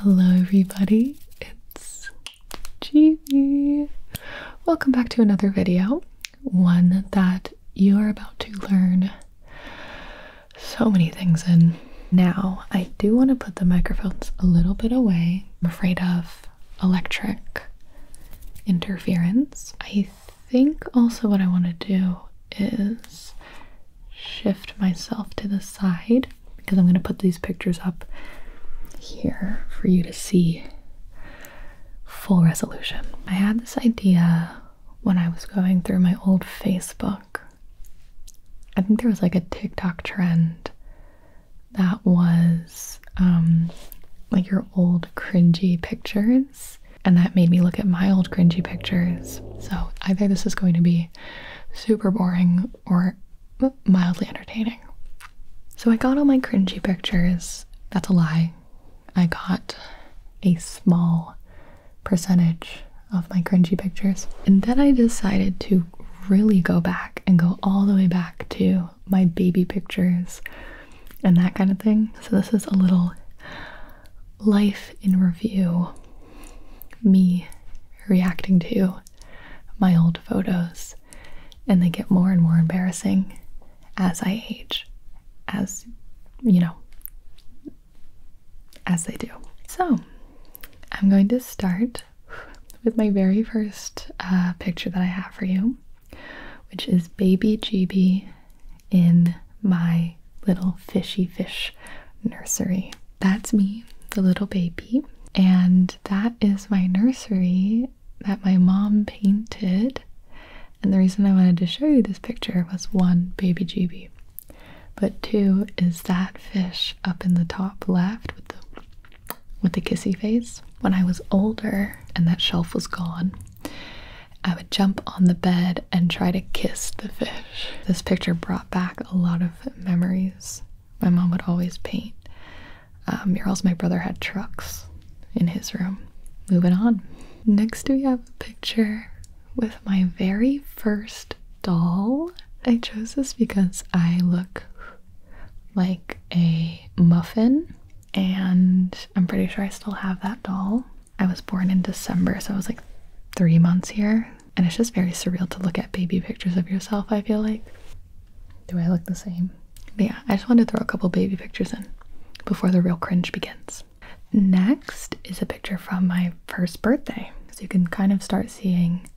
Hello, everybody, it's Gigi. Welcome back to another video, one that you are about to learn so many things in. Now, I do want to put the microphones a little bit away. I'm afraid of electric interference. I think also what I want to do is shift myself to the side because I'm going to put these pictures up here for you to see full resolution. I had this idea when I was going through my old Facebook. I think there was like a TikTok trend that was um, like your old cringy pictures. And that made me look at my old cringy pictures. So either this is going to be super boring or mildly entertaining. So I got all my cringy pictures. That's a lie. I got a small percentage of my cringy pictures. And then I decided to really go back and go all the way back to my baby pictures and that kind of thing. So this is a little life in review, me reacting to my old photos, and they get more and more embarrassing as I age, as you know, as they do. So, I'm going to start with my very first uh, picture that I have for you, which is baby GB in my little fishy fish nursery. That's me, the little baby, and that is my nursery that my mom painted. And the reason I wanted to show you this picture was one, baby GB, but two is that fish up in the top left with the with the kissy face. When I was older and that shelf was gone, I would jump on the bed and try to kiss the fish. This picture brought back a lot of memories. My mom would always paint um, murals. My brother had trucks in his room. Moving on. Next, we have a picture with my very first doll. I chose this because I look like a muffin, and I'm pretty sure I still have that doll. I was born in December, so I was like three months here, and it's just very surreal to look at baby pictures of yourself, I feel like. Do I look the same? yeah, I just wanted to throw a couple baby pictures in before the real cringe begins. Next is a picture from my first birthday. So you can kind of start seeing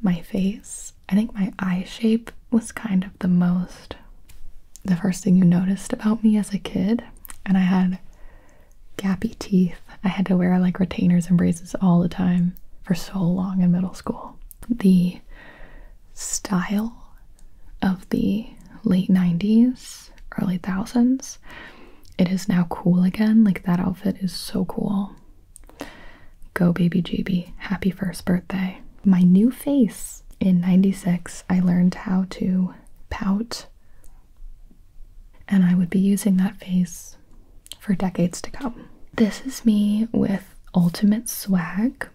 my face. I think my eye shape was kind of the most, the first thing you noticed about me as a kid. And I had gappy teeth. I had to wear like retainers and braces all the time for so long in middle school. The style of the late 90s, early thousands, it is now cool again. Like that outfit is so cool. Go baby GB. Happy first birthday. My new face. In 96, I learned how to pout and I would be using that face for decades to come. This is me with Ultimate Swag.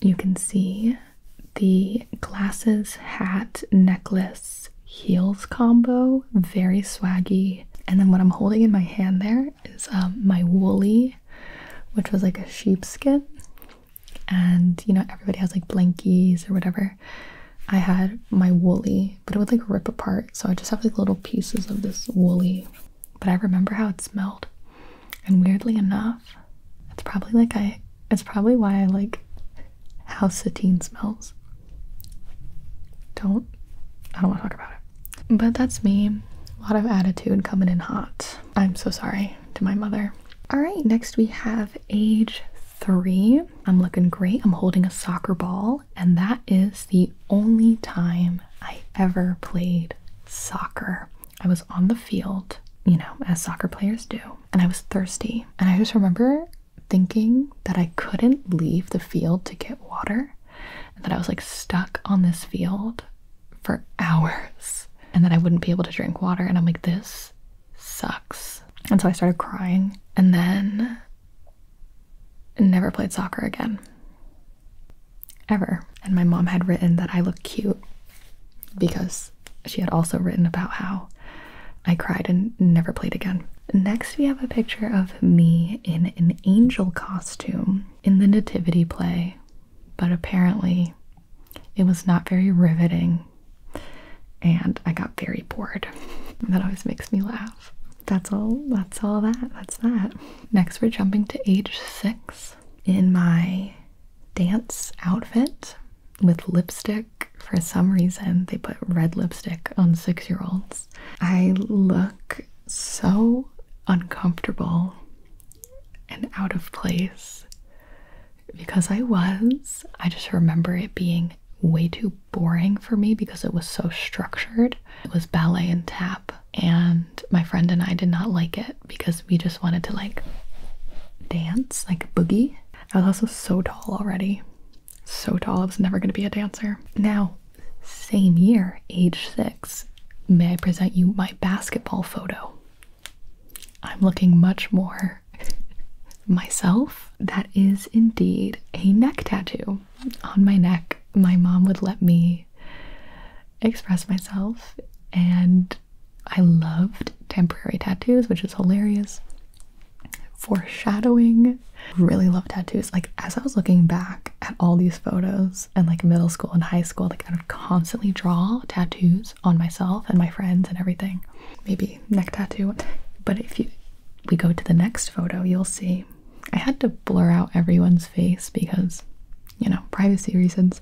You can see the glasses, hat, necklace, heels combo, very swaggy. And then what I'm holding in my hand there is um, my woolly, which was like a sheepskin. And you know, everybody has like blankies or whatever. I had my woolly, but it would like rip apart. So I just have like little pieces of this woolly. But I remember how it smelled. And weirdly enough, it's probably like I it's probably why I like how satine smells. Don't I don't want to talk about it. But that's me. A lot of attitude coming in hot. I'm so sorry to my mother. All right, next we have age three. I'm looking great. I'm holding a soccer ball, and that is the only time I ever played soccer. I was on the field, you know, as soccer players do, and I was thirsty. And I just remember thinking that I couldn't leave the field to get water, and that I was like stuck on this field for hours, and that I wouldn't be able to drink water. And I'm like, this sucks. And so I started crying and then never played soccer again. Ever. And my mom had written that I looked cute because she had also written about how I cried and never played again. Next, we have a picture of me in an angel costume in the nativity play, but apparently it was not very riveting and I got very bored. that always makes me laugh. That's all. That's all that. That's that. Next, we're jumping to age six in my dance outfit with lipstick. For some reason, they put red lipstick on six year olds. I look so uncomfortable and out of place because I was. I just remember it being way too boring for me because it was so structured. It was ballet and tap, and my friend and I did not like it because we just wanted to like dance, like boogie. I was also so tall already. So tall, I was never going to be a dancer. Now, same year, age six, may I present you my basketball photo? I'm looking much more myself, that is indeed a neck tattoo on my neck. My mom would let me express myself, and I loved temporary tattoos, which is hilarious. Foreshadowing. Really love tattoos. Like, as I was looking back at all these photos and like middle school and high school, like, I would constantly draw tattoos on myself and my friends and everything. Maybe neck tattoo. But if you we go to the next photo, you'll see I had to blur out everyone's face because, you know, privacy reasons.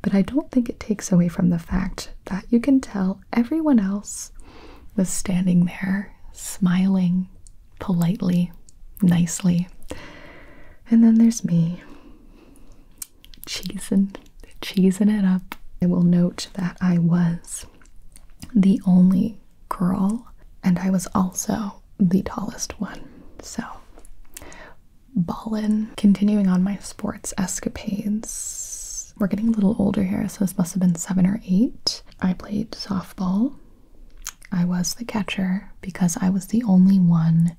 But I don't think it takes away from the fact that you can tell everyone else was standing there, smiling politely, nicely. And then there's me, cheesing, cheesing it up. I will note that I was the only girl, and I was also the tallest one. So, ballin. Continuing on my sports escapades, we're getting a little older here, so this must have been seven or eight. I played softball. I was the catcher because I was the only one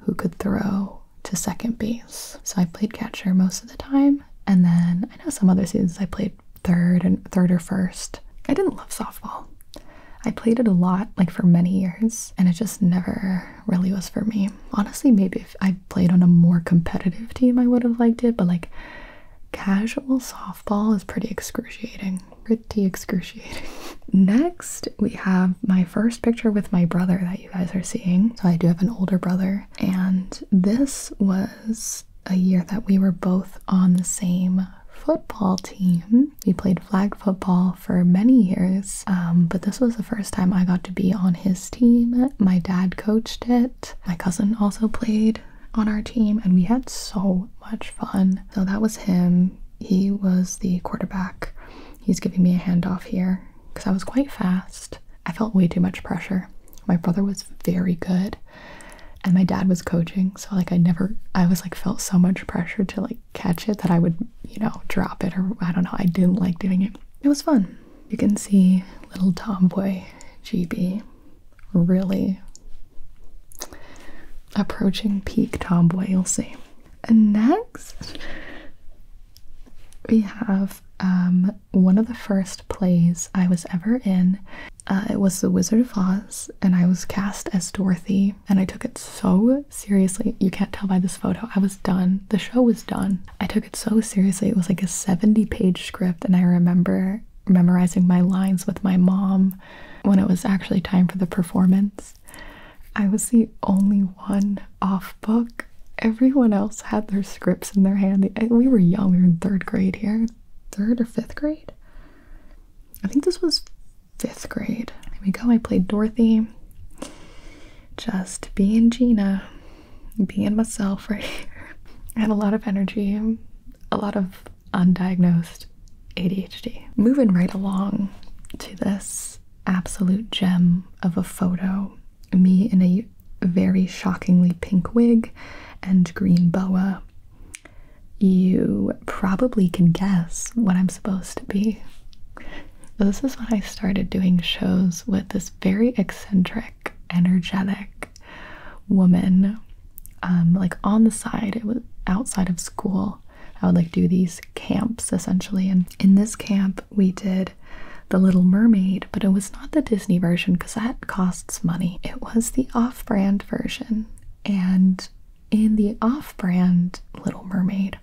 who could throw to second base. So I played catcher most of the time. And then I know some other seasons I played third and third or first. I didn't love softball. I played it a lot, like for many years, and it just never really was for me. Honestly, maybe if I played on a more competitive team, I would have liked it, but like casual softball is pretty excruciating. Pretty excruciating. Next, we have my first picture with my brother that you guys are seeing. So, I do have an older brother, and this was a year that we were both on the same football team. We played flag football for many years, um, but this was the first time I got to be on his team. My dad coached it. My cousin also played on our team, and we had so much fun. So that was him. He was the quarterback. He's giving me a handoff here because I was quite fast. I felt way too much pressure. My brother was very good and my dad was coaching, so like I never I was like felt so much pressure to like catch it that I would, you know, drop it or I don't know, I didn't like doing it. It was fun. You can see little tomboy GB really approaching peak tomboy, you'll see. And next we have um one of the first plays I was ever in. Uh, it was The Wizard of Oz, and I was cast as Dorothy, and I took it so seriously. You can't tell by this photo. I was done. The show was done. I took it so seriously. It was like a 70 page script, and I remember memorizing my lines with my mom when it was actually time for the performance. I was the only one off book everyone else had their scripts in their hand. We were young, we were in third grade here. Third or fifth grade? I think this was fifth grade. There we go. I played Dorothy. Just being Gina, being myself right here. I had a lot of energy, a lot of undiagnosed ADHD. Moving right along to this absolute gem of a photo me in a very shockingly pink wig and green boa. You probably can guess what I'm supposed to be. This is when I started doing shows with this very eccentric, energetic woman. Um, like on the side, it was outside of school. I would like do these camps essentially. And in this camp, we did the Little Mermaid, but it was not the Disney version because that costs money. It was the off brand version. And in the off brand Little Mermaid,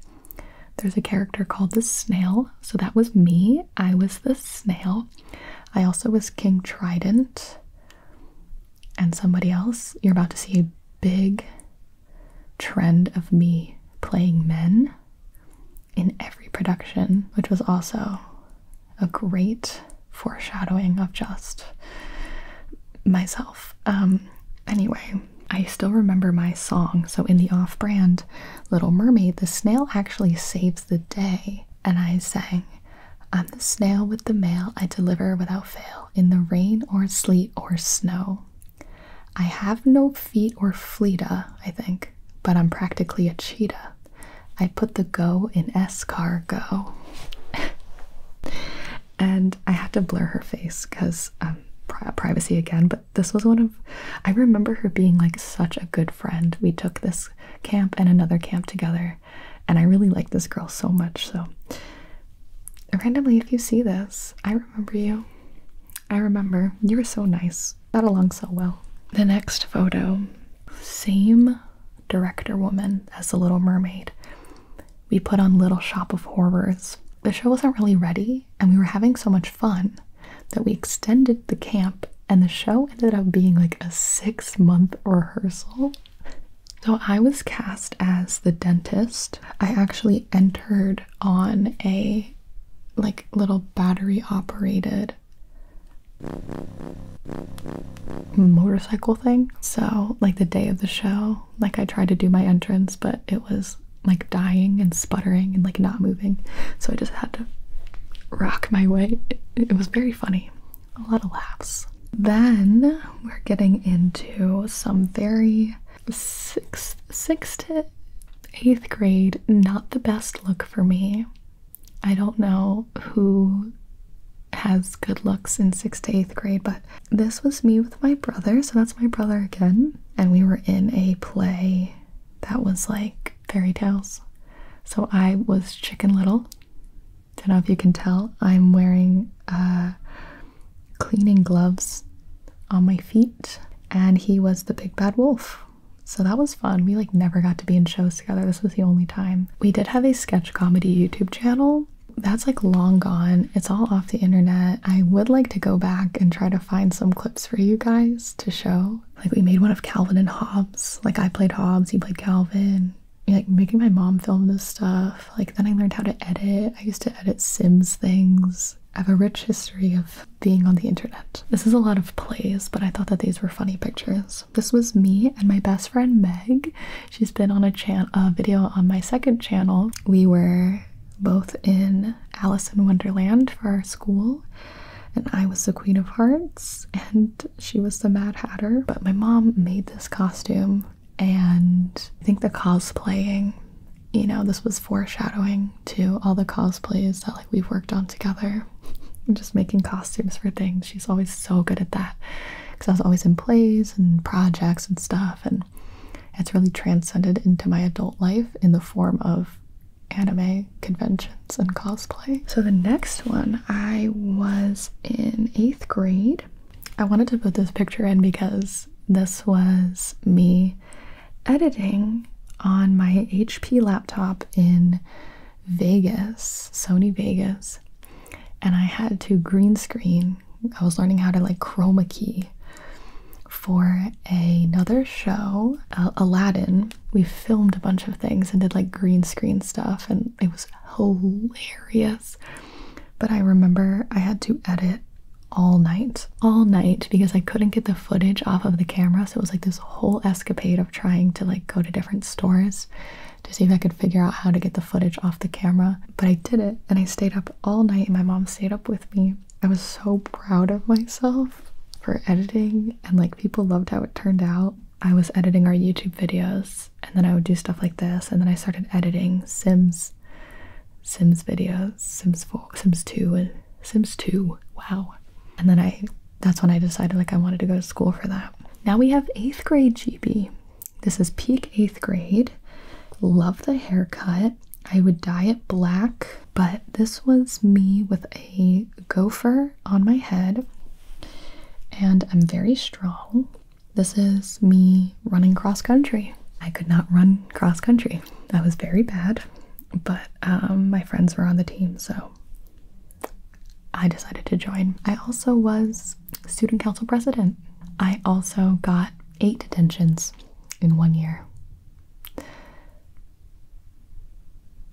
there's a character called the Snail. So that was me. I was the Snail. I also was King Trident and somebody else. You're about to see a big trend of me playing men in every production, which was also a great foreshadowing of just myself. Um, anyway, I still remember my song. So, in the off brand Little Mermaid, the snail actually saves the day, and I sang. I'm the snail with the mail I deliver without fail in the rain or sleet or snow. I have no feet or fleeta, I think, but I'm practically a cheetah. I put the go in s escargot. and I had to blur her face because um, privacy again, but this was one of. I remember her being like such a good friend. We took this camp and another camp together, and I really liked this girl so much. So, randomly, if you see this, I remember you. I remember. You were so nice got along so well. The next photo, same director woman as The Little Mermaid. We put on Little Shop of Horrors. The show wasn't really ready, and we were having so much fun that we extended the camp, and the show ended up being like a six month rehearsal. So I was cast as the dentist. I actually entered on a like little battery operated motorcycle thing. So, like the day of the show, like I tried to do my entrance, but it was like dying and sputtering and like not moving. So I just had to rock my way. It, was very funny. A lot of laughs. Then we're getting into some very sixth, sixth to eighth grade, not the best look for me. I don't know who has good looks in sixth to eighth grade, but this was me with my brother. So that's my brother again. And we were in a play that was like fairy tales. So I was Chicken Little. Don't know if you can tell. I'm wearing uh, cleaning gloves on my feet. And he was the big bad wolf. So that was fun. We like never got to be in shows together. This was the only time. We did have a sketch comedy YouTube channel. That's like long gone. It's all off the internet. I would like to go back and try to find some clips for you guys to show. Like we made one of Calvin and Hobbes. Like I played Hobbes, he played Calvin. Like making my mom film this stuff. Like then I learned how to edit. I used to edit Sims things. I have a rich history of being on the internet. This is a lot of plays, but I thought that these were funny pictures. This was me and my best friend Meg. She's been on a, chan a video on my second channel. We were both in Alice in Wonderland for our school, and I was the Queen of Hearts, and she was the Mad Hatter. But my mom made this costume, and I think the cosplaying, you know, this was foreshadowing to all the cosplays that like we've worked on together. and Just making costumes for things. She's always so good at that because I was always in plays and projects and stuff, and it's really transcended into my adult life in the form of anime conventions and cosplay. So the next one, I was in eighth grade. I wanted to put this picture in because this was me editing on my HP laptop in Vegas, Sony Vegas, and I had to green screen. I was learning how to like chroma key for another show, uh, Aladdin. We filmed a bunch of things and did like green screen stuff, and it was hilarious. But I remember I had to edit all night, all night because I couldn't get the footage off of the camera. So it was like this whole escapade of trying to like go to different stores to see if I could figure out how to get the footage off the camera. But I did it and I stayed up all night and my mom stayed up with me. I was so proud of myself for editing and like people loved how it turned out. I was editing our YouTube videos and then I would do stuff like this and then I started editing Sims Sims videos, Sims 4, Sims 2 and Sims 2. Wow. And then I that's when I decided like I wanted to go to school for that. Now we have eighth grade GB. This is peak eighth grade. Love the haircut. I would dye it black, but this was me with a gopher on my head, and I'm very strong. This is me running cross country. I could not run cross country. I was very bad, but um, my friends were on the team, so I decided to join. I also was student council president. I also got eight detentions in one year.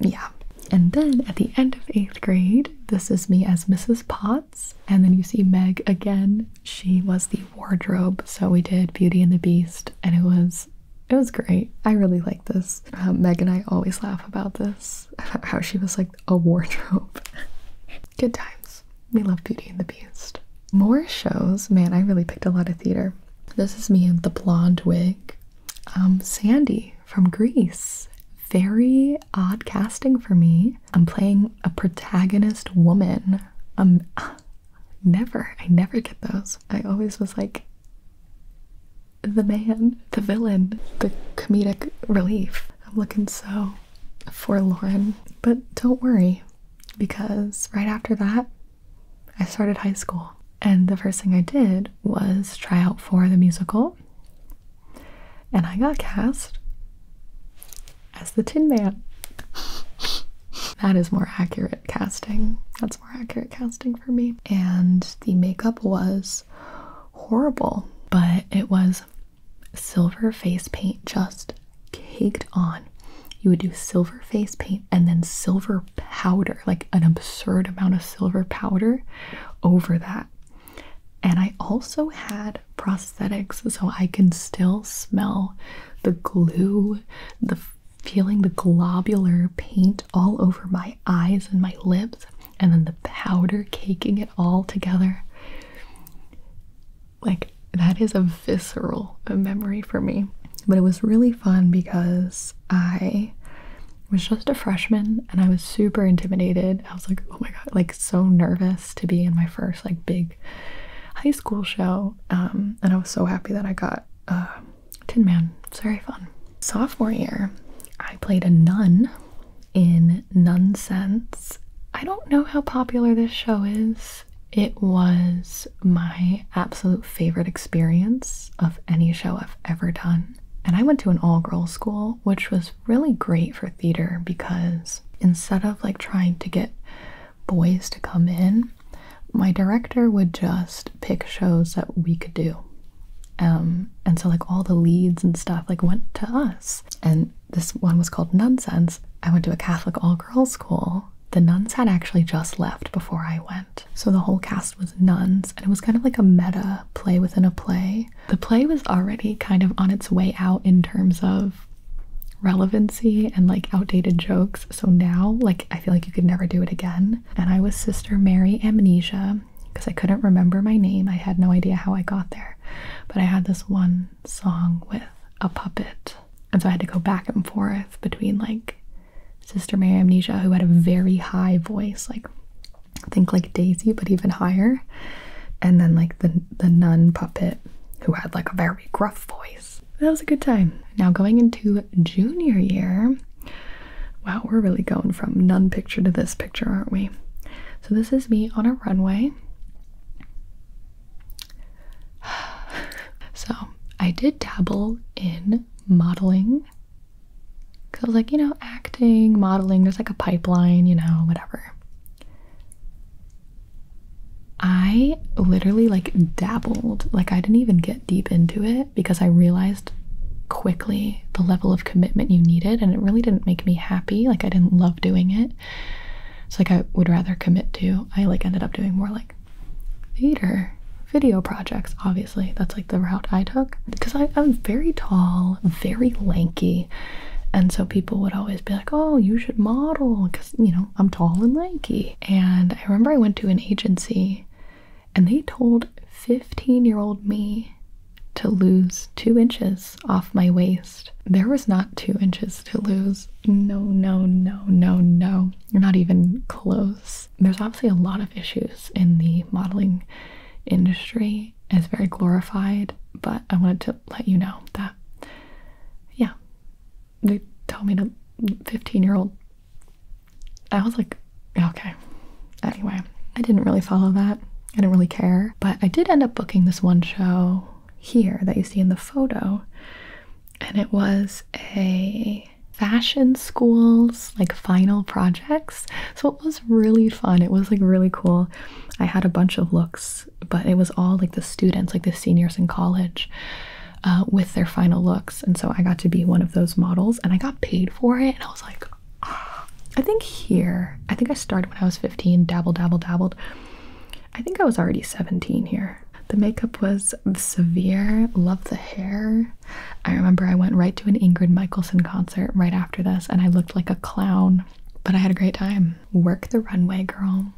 Yeah. And then at the end of eighth grade, this is me as Mrs. Potts. And then you see Meg again. She was the wardrobe. So we did Beauty and the Beast, and it was it was great. I really like this. Um, Meg and I always laugh about this, about how she was like a wardrobe. Good times. We love Beauty and the Beast. More shows. Man, I really picked a lot of theater. This is me in the blonde wig. Um, Sandy from Greece. Very odd casting for me. I'm playing a protagonist woman. Um, never. I never get those. I always was like, the man, the villain, the comedic relief. I'm looking so forlorn. But don't worry, because right after that, I started high school. And the first thing I did was try out for the musical. And I got cast as the Tin Man. that is more accurate casting. That's more accurate casting for me. And the makeup was horrible, but it was silver face paint just caked on. You would do silver face paint and then silver powder, like an absurd amount of silver powder over that. And I also had prosthetics, so I can still smell the glue, the feeling the globular paint all over my eyes and my lips, and then the powder caking it all together. Like, that is a visceral memory for me. But it was really fun because I was just a freshman and I was super intimidated. I was like, oh my god, like so nervous to be in my first like big high school show. Um, and I was so happy that I got uh, Tin Man. It's very fun. Sophomore year, I played a nun in Nonsense. I don't know how popular this show is. It was my absolute favorite experience of any show I've ever done. And I went to an all girls school, which was really great for theater because instead of like trying to get boys to come in, my director would just pick shows that we could do. Um, and so like all the leads and stuff like went to us. And this one was called Nonsense. I went to a Catholic all-girls school. The nuns had actually just left before I went. So the whole cast was nuns, and it was kind of like a meta play within a play. The play was already kind of on its way out in terms of relevancy and like outdated jokes. So now, like, I feel like you could never do it again and I was Sister Mary Amnesia because I couldn't remember my name. I had no idea how I got there, but I had this one song with a puppet, and so I had to go back and forth between like Sister Mary Amnesia, who had a very high voice, like I think like Daisy, but even higher, and then like the the nun puppet who had like a very gruff voice. That was a good time. Now going into junior year. Wow, we're really going from none picture to this picture, aren't we? So, this is me on a runway. So, I did dabble in modeling because I was like, you know, acting, modeling, there's like a pipeline, you know, whatever. I literally like dabbled, like, I didn't even get deep into it because I realized quickly the level of commitment you needed and it really didn't make me happy like I didn't love doing it so like I would rather commit to I like ended up doing more like theater video projects obviously that's like the route I took because I'm very tall very lanky and so people would always be like oh you should model because you know I'm tall and lanky and I remember I went to an agency and they told 15 year old me to lose two inches off my waist. There was not two inches to lose. No, no, no, no, no. You're not even close. There's obviously a lot of issues in the modeling industry. It's very glorified, but I wanted to let you know that, yeah, they told me to 15 year old I was like, okay. Anyway, I didn't really follow that. I didn't really care. But I did end up booking this one show here that you see in the photo. And it was a fashion school's like final projects. So it was really fun. It was like really cool. I had a bunch of looks, but it was all like the students, like the seniors in college uh, with their final looks. And so I got to be one of those models and I got paid for it. And I was like, ah. I think here, I think I started when I was 15, dabble, dabble, dabbled. I think I was already 17 here. The makeup was severe. Love the hair. I remember I went right to an Ingrid Michaelson concert right after this and I looked like a clown, but I had a great time. Work the runway, girl.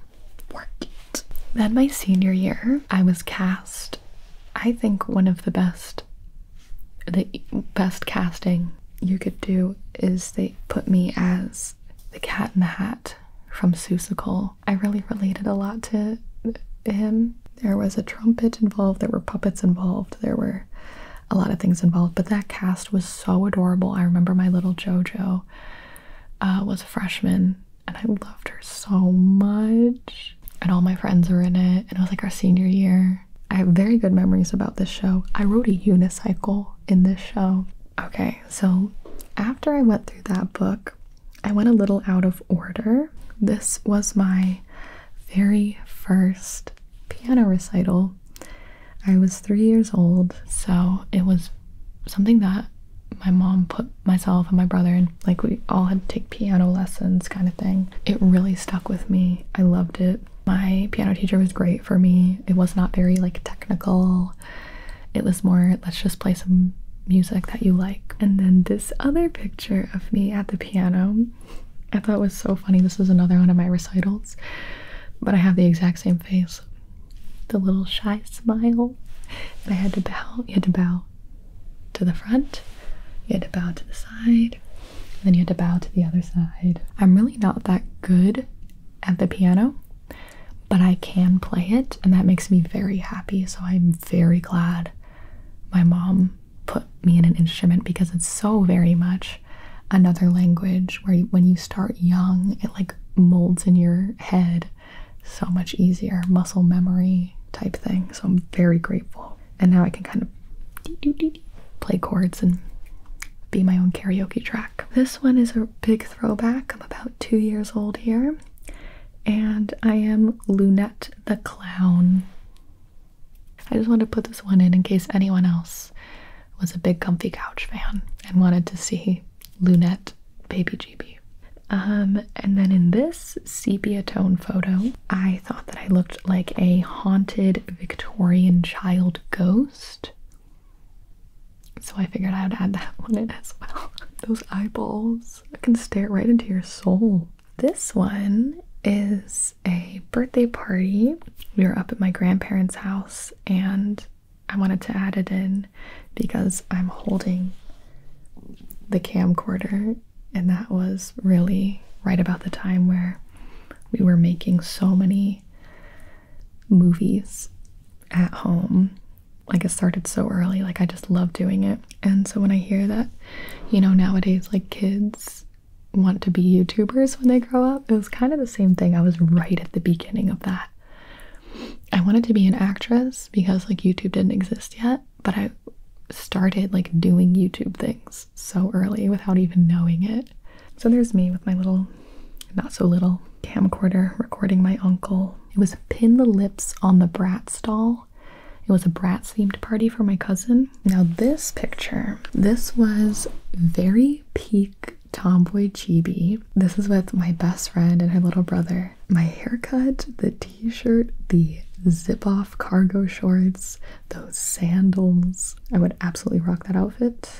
Work it. Then my senior year, I was cast, I think, one of the best. The best casting you could do is they put me as the cat in the hat from Cole*. I really related a lot to him. There was a trumpet involved, there were puppets involved, there were a lot of things involved, but that cast was so adorable. I remember my little JoJo uh, was a freshman and I loved her so much. And all my friends were in it, and it was like our senior year. I have very good memories about this show. I rode a unicycle in this show. Okay, so after I went through that book, I went a little out of order. This was my very first piano recital. I was three years old, so it was something that my mom put myself and my brother, and like we all had to take piano lessons, kind of thing. It really stuck with me. I loved it. My piano teacher was great for me. It was not very like technical. It was more let's just play some music that you like. And then this other picture of me at the piano. I thought was so funny. This is another one of my recitals. But I have the exact same face. The little shy smile. And I had to bow. You had to bow to the front, you had to bow to the side, then you had to bow to the other side. I'm really not that good at the piano, but I can play it, and that makes me very happy. So I'm very glad my mom put me in an instrument because it's so very much another language where when you start young, it like molds in your head so much easier. Muscle memory type thing. So I'm very grateful. And now I can kind of play chords and be my own karaoke track. This one is a big throwback. I'm about two years old here. And I am Lunette the Clown. I just wanted to put this one in in case anyone else was a big comfy couch fan and wanted to see Lunette Baby GB. Um, and then in this sepia tone photo, I thought that I looked like a haunted Victorian child ghost. So I figured I would add that one in as well. Those eyeballs I can stare right into your soul. This one is a birthday party. We were up at my grandparents' house and I wanted to add it in because I'm holding the camcorder and that was really right about the time where we were making so many movies at home. Like it started so early, like I just love doing it. And so when I hear that, you know, nowadays like kids want to be YouTubers when they grow up, it was kind of the same thing. I was right at the beginning of that. I wanted to be an actress because like YouTube didn't exist yet but I started like doing YouTube things so early without even knowing it. So there's me with my little, not so little, camcorder recording my uncle. It was pin the lips on the brat doll. It was a brat themed party for my cousin. Now this picture, this was very peak tomboy chibi. This is with my best friend and her little brother my haircut, the t-shirt, the zip-off cargo shorts, those sandals. I would absolutely rock that outfit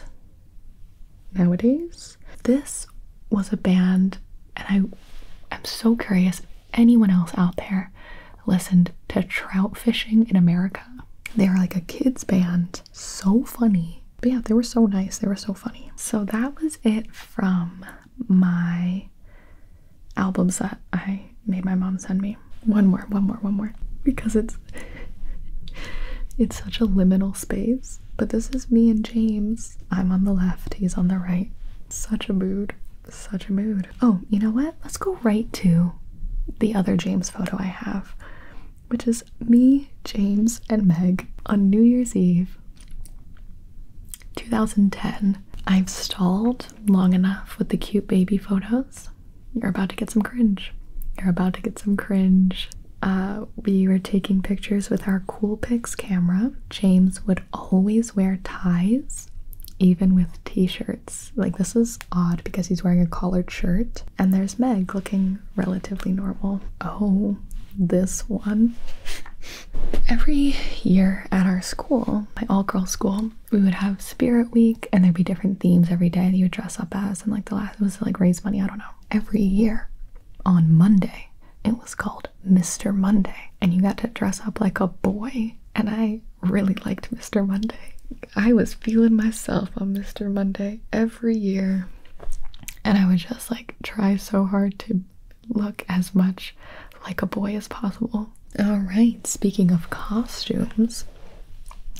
nowadays. This was a band and I am so curious anyone else out there listened to trout fishing in America. They are like a kids band, so funny. But yeah, they were so nice. They were so funny. So that was it from my albums that I made my mom send me. One more, one more, one more. Because it's it's such a liminal space. But this is me and James. I'm on the left, he's on the right. Such a mood. Such a mood. Oh, you know what? Let's go right to the other James photo I have, which is me, James, and Meg on New Year's Eve 2010. I've stalled long enough with the cute baby photos. You're about to get some cringe. You're about to get some cringe. Uh, we were taking pictures with our Coolpix camera. James would always wear ties, even with t shirts. Like, this is odd because he's wearing a collared shirt. And there's Meg looking relatively normal. Oh, this one. Every year at our school, my all girls school, we would have Spirit Week and there'd be different themes every day that you would dress up as. And like the last, it was like raise money, I don't know. Every year on Monday, it was called Mr. Monday. And you got to dress up like a boy. And I really liked Mr. Monday. I was feeling myself on Mr. Monday every year. And I would just like try so hard to look as much like a boy as possible. All right, speaking of costumes,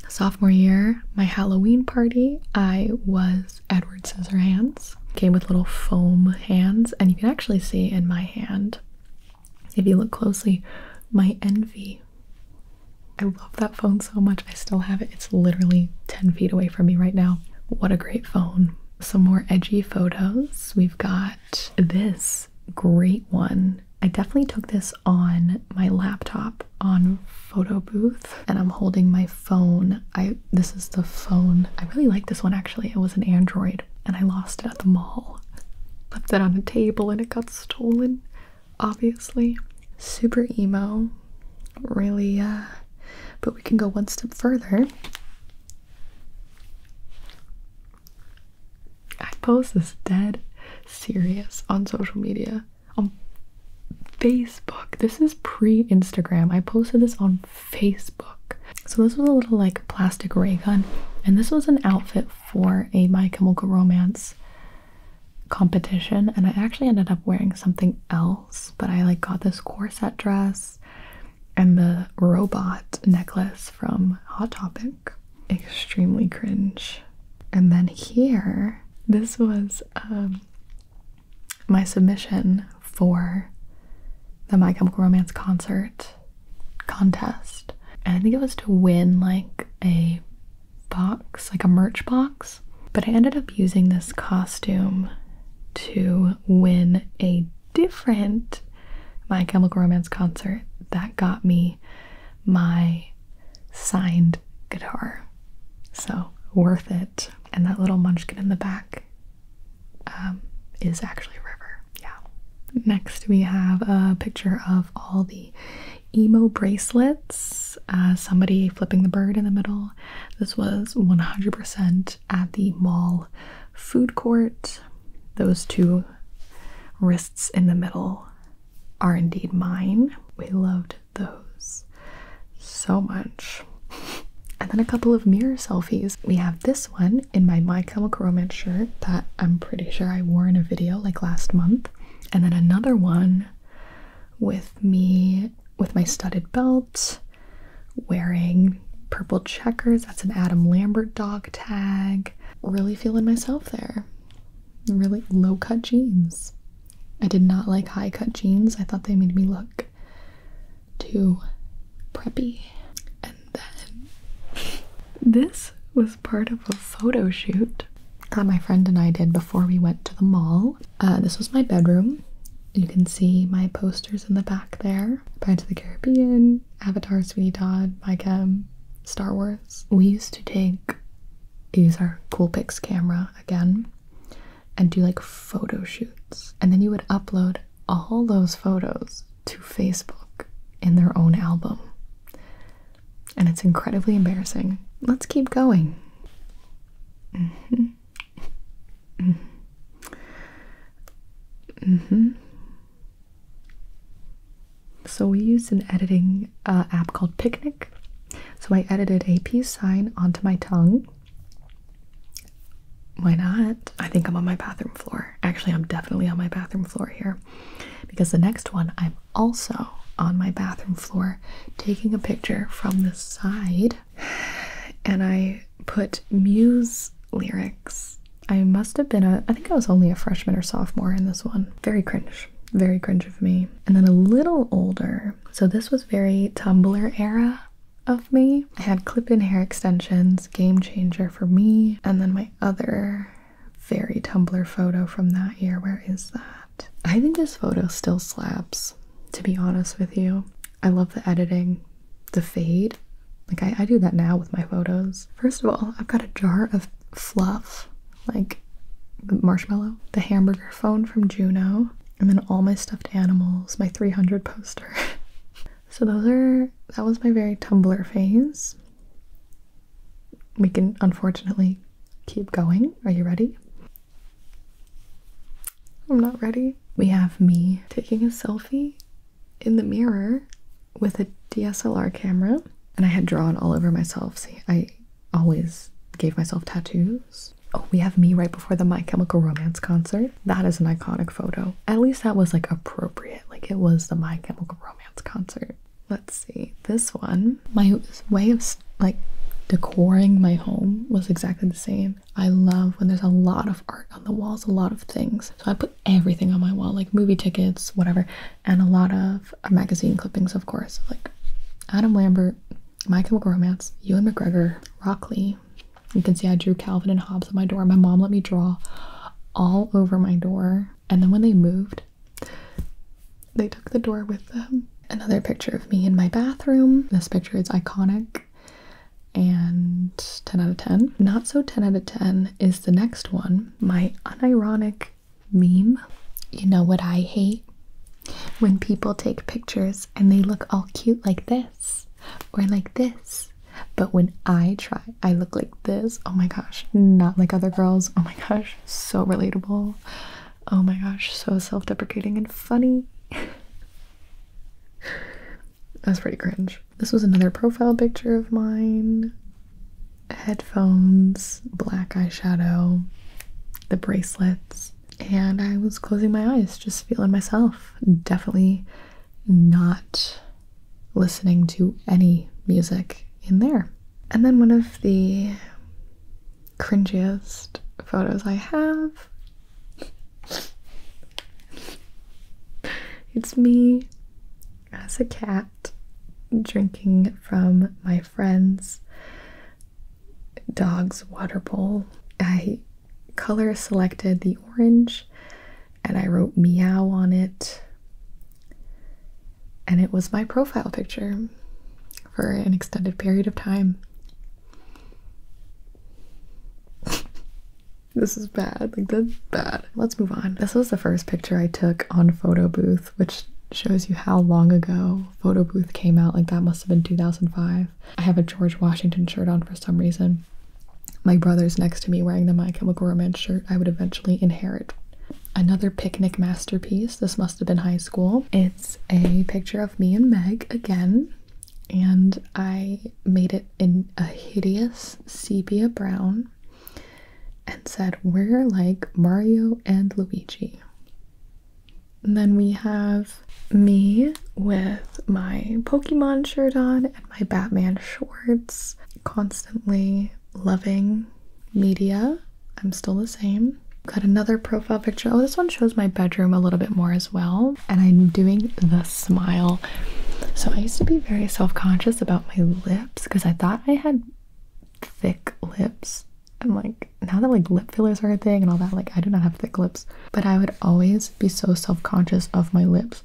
sophomore year, my Halloween party, I was Edward Scissorhands. Came with little foam hands, and you can actually see in my hand, if you look closely, my envy. I love that phone so much. I still have it. It's literally 10 feet away from me right now. What a great phone. Some more edgy photos. We've got this great one, I definitely took this on my laptop on photo booth and I'm holding my phone. I this is the phone. I really like this one actually. It was an Android and I lost it at the mall. Left it on a table and it got stolen, obviously. Super emo. Really uh but we can go one step further I post this dead serious on social media. On Facebook. This is pre-Instagram. I posted this on Facebook. So this was a little like plastic ray gun. And this was an outfit for a My Chemical Romance competition. And I actually ended up wearing something else. But I like got this corset dress and the robot necklace from Hot Topic. Extremely cringe. And then here, this was um, my submission for the My Chemical Romance concert contest. And I think it was to win like a box, like a merch box. But I ended up using this costume to win a different my chemical romance concert that got me my signed guitar so worth it and that little munchkin in the back um, is actually river yeah next we have a picture of all the emo bracelets uh, somebody flipping the bird in the middle this was 100% at the mall food court. Those two wrists in the middle are indeed mine. We loved those so much. And then a couple of mirror selfies. We have this one in my My Chemical Romance shirt that I'm pretty sure I wore in a video like last month. And then another one with me with my studded belt wearing purple checkers. That's an Adam Lambert dog tag. Really feeling myself there. Really low cut jeans. I did not like high cut jeans. I thought they made me look too preppy. And then this was part of a photo shoot that my friend and I did before we went to the mall. Uh, this was my bedroom. You can see my posters in the back there. Pirates of the Caribbean, Avatar, Sweeney Todd, Bicam, um, Star Wars. We used to take, use our Coolpix camera again, and do like photo shoots. And then you would upload all those photos to Facebook in their own album. And it's incredibly embarrassing. Let's keep going. Mm-hmm. Mm -hmm. So we used an editing uh, app called Picnic. So I edited a peace sign onto my tongue. Why not? I think I'm on my bathroom floor. Actually, I'm definitely on my bathroom floor here because the next one I'm also on my bathroom floor taking a picture from the side and I put Muse lyrics. I must have been a, I think I was only a freshman or sophomore in this one. Very cringe. Very cringe of me. And then a little older. So this was very Tumblr era of me. I had clip in hair extensions, game changer for me. And then my other very Tumblr photo from that year. Where is that? I think this photo still slaps, to be honest with you. I love the editing, the fade. Like, I, I do that now with my photos. First of all, I've got a jar of fluff, like the marshmallow, the hamburger phone from Juno, and then all my stuffed animals, my 300 poster. so, those are that was my very Tumblr phase. We can unfortunately keep going. Are you ready? I'm not ready. We have me taking a selfie in the mirror with a DSLR camera, and I had drawn all over myself. See, I always gave myself tattoos. Oh, we have me right before the My Chemical Romance concert. That is an iconic photo. At least that was like appropriate. Like it was the My Chemical Romance concert. Let's see. This one, my way of like decorating my home was exactly the same. I love when there's a lot of art on the walls, a lot of things. So I put everything on my wall, like movie tickets, whatever, and a lot of uh, magazine clippings, of course, like Adam Lambert, Michael Chemical Romance, Ewan McGregor, Rock You can see I drew Calvin and Hobbes on my door. My mom let me draw all over my door, and then when they moved, they took the door with them. Another picture of me in my bathroom. This picture is iconic and 10 out of 10. Not so 10 out of 10 is the next one, my unironic meme. You know what I hate? When people take pictures and they look all cute like this or like this. But when I try, I look like this. Oh my gosh, not like other girls. Oh my gosh, so relatable. Oh my gosh, so self deprecating and funny. That's pretty cringe. This was another profile picture of mine. Headphones, black eyeshadow, the bracelets, and I was closing my eyes, just feeling myself. Definitely not listening to any music in there. And then one of the cringiest photos I have it's me as a cat drinking from my friend's dog's water bowl. I color selected the orange and I wrote meow on it. And it was my profile picture for an extended period of time. This is bad. Like, that's bad. Let's move on. This was the first picture I took on Photo Booth, which shows you how long ago Photo Booth came out. Like, that must have been 2005. I have a George Washington shirt on for some reason. My brother's next to me wearing the My Chemical Romance shirt I would eventually inherit. Another picnic masterpiece. This must have been high school. It's a picture of me and Meg again and I made it in a hideous sepia brown and said, We're like Mario and Luigi. then we have me with my Pokemon shirt on and my Batman shorts, constantly loving media. I'm still the same. Got another profile picture. Oh, this one shows my bedroom a little bit more as well. And I'm doing the smile. So I used to be very self conscious about my lips because I thought I had thick lips. And like now that like lip fillers are a thing and all that, like I do not have thick lips. But I would always be so self conscious of my lips.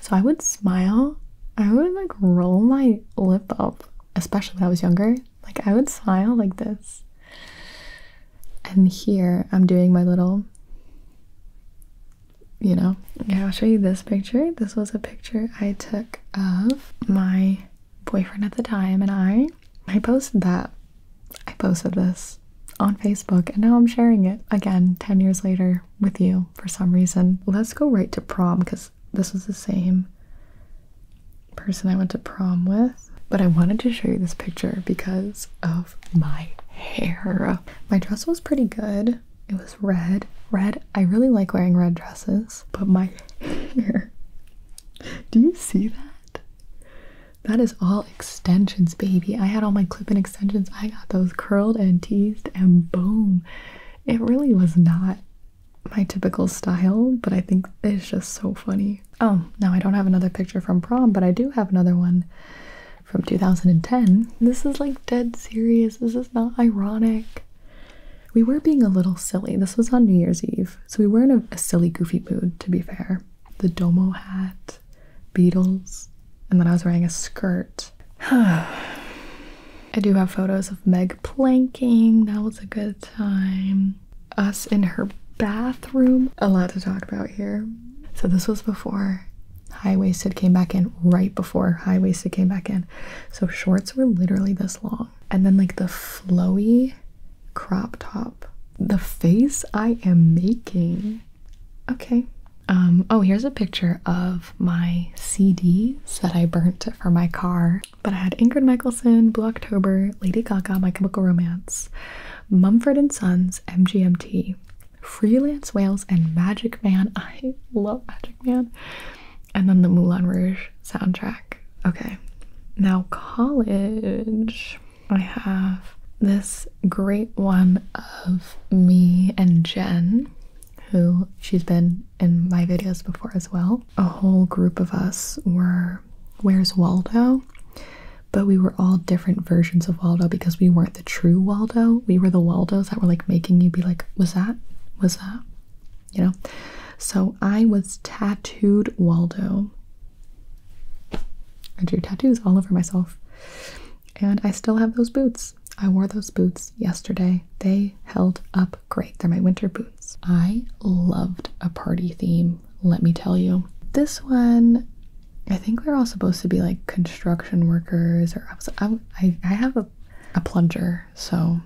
So I would smile. I would like roll my lip up, especially when I was younger. Like I would smile like this. And here I'm doing my little you know. Okay, I'll show you this picture. This was a picture I took of my boyfriend at the time and I. I posted that. I posted this on Facebook and now I'm sharing it again 10 years later with you for some reason. Let's go right to prom because this was the same person I went to prom with. But I wanted to show you this picture because, of. Oh, my hair. My dress was pretty good. It was red. Red, I really like wearing red dresses, but my hair. Do you see that? That is all extensions, baby. I had all my clip in extensions. I got those curled and teased, and boom. It really was not my typical style, but I think it's just so funny. Oh, now I don't have another picture from prom, but I do have another one from 2010. This is like dead serious. This is not ironic. We were being a little silly. This was on New Year's Eve, so we were in a, silly, goofy mood, to be fair. The Domo hat, Beatles, and then I was wearing a skirt. I do have photos of Meg planking. That was a good time. Us in her bathroom. A lot to talk about here. So, this was before High waisted came back in right before high waisted came back in. So shorts were literally this long. And then, like, the flowy crop top. The face I am making. Okay. Um, oh, here's a picture of my CDs that I burnt for my car. But I had Ingrid Michaelson, Blue October, Lady Gaga, My Chemical Romance, Mumford and Sons, MGMT, Freelance Wales and Magic Man. I love Magic Man. And then the Moulin Rouge soundtrack. Okay. Now, college. I have this great one of me and Jen, who she's been in my videos before as well. A whole group of us were Where's Waldo? but we were all different versions of Waldo because we weren't the true Waldo. We were the Waldos that were like making you be like, was that? Was that? You know? So I was tattooed Waldo. I drew tattoos all over myself. And I still have those boots. I wore those boots yesterday. They held up great. They're my winter boots. I loved a party theme, let me tell you. This one I think we are all supposed to be like construction workers, or I have a, plunger, so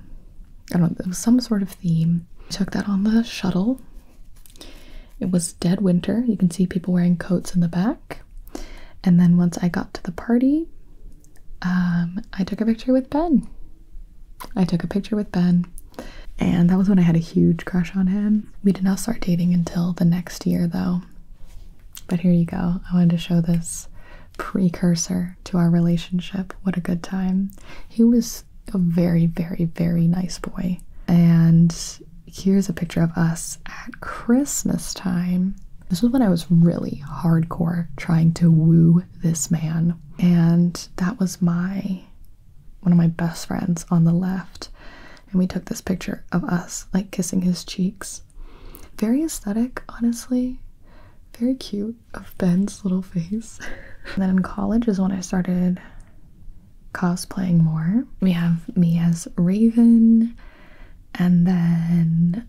I don't know, it was some sort of theme. Took that on the shuttle. It was dead winter. You can see people wearing coats in the back. And then once I got to the party, um, I took a picture with Ben. I took a picture with Ben, and that was when I had a huge crush on him. We did not start dating until the next year, though. But here you go. I wanted to show this precursor to our relationship. What a good time. He was a very, very, very nice boy. And here's a picture of us at Christmas time. This was when I was really hardcore trying to woo this man. And that was my one of my best friends on the left and we took this picture of us like kissing his cheeks. Very aesthetic, honestly. Very cute of Ben's little face. and then in college is when I started cosplaying more. We have me as Raven, and then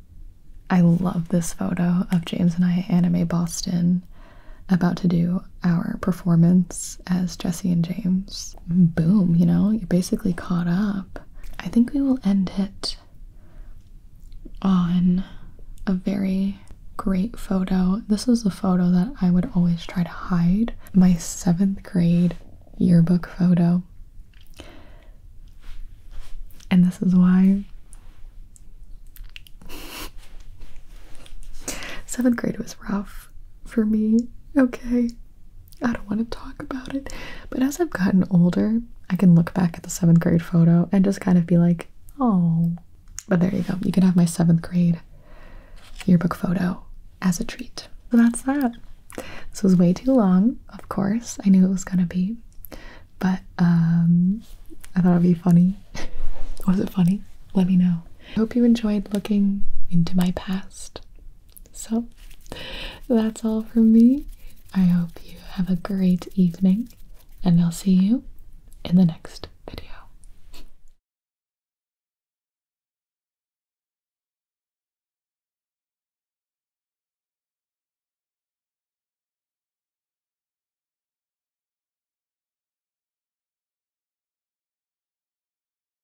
I love this photo of James and I Anime Boston about to do our performance as Jesse and James boom, you know, you're basically caught up. I think we will end it on a very great photo. This is a photo that I would always try to hide. My seventh grade yearbook photo. And this is why. Seventh grade was rough for me, okay? I don't want to talk about it. But as I've gotten older, I can look back at the seventh grade photo and just kind of be like, oh. But there you go. You can have my seventh grade yearbook photo as a treat. So that's that. This was way too long, of course. I knew it was gonna be. But um I thought it'd be funny. was it funny? Let me know. I hope you enjoyed looking into my past. So that's all from me. I hope you have a great evening, and I'll see you in the next video.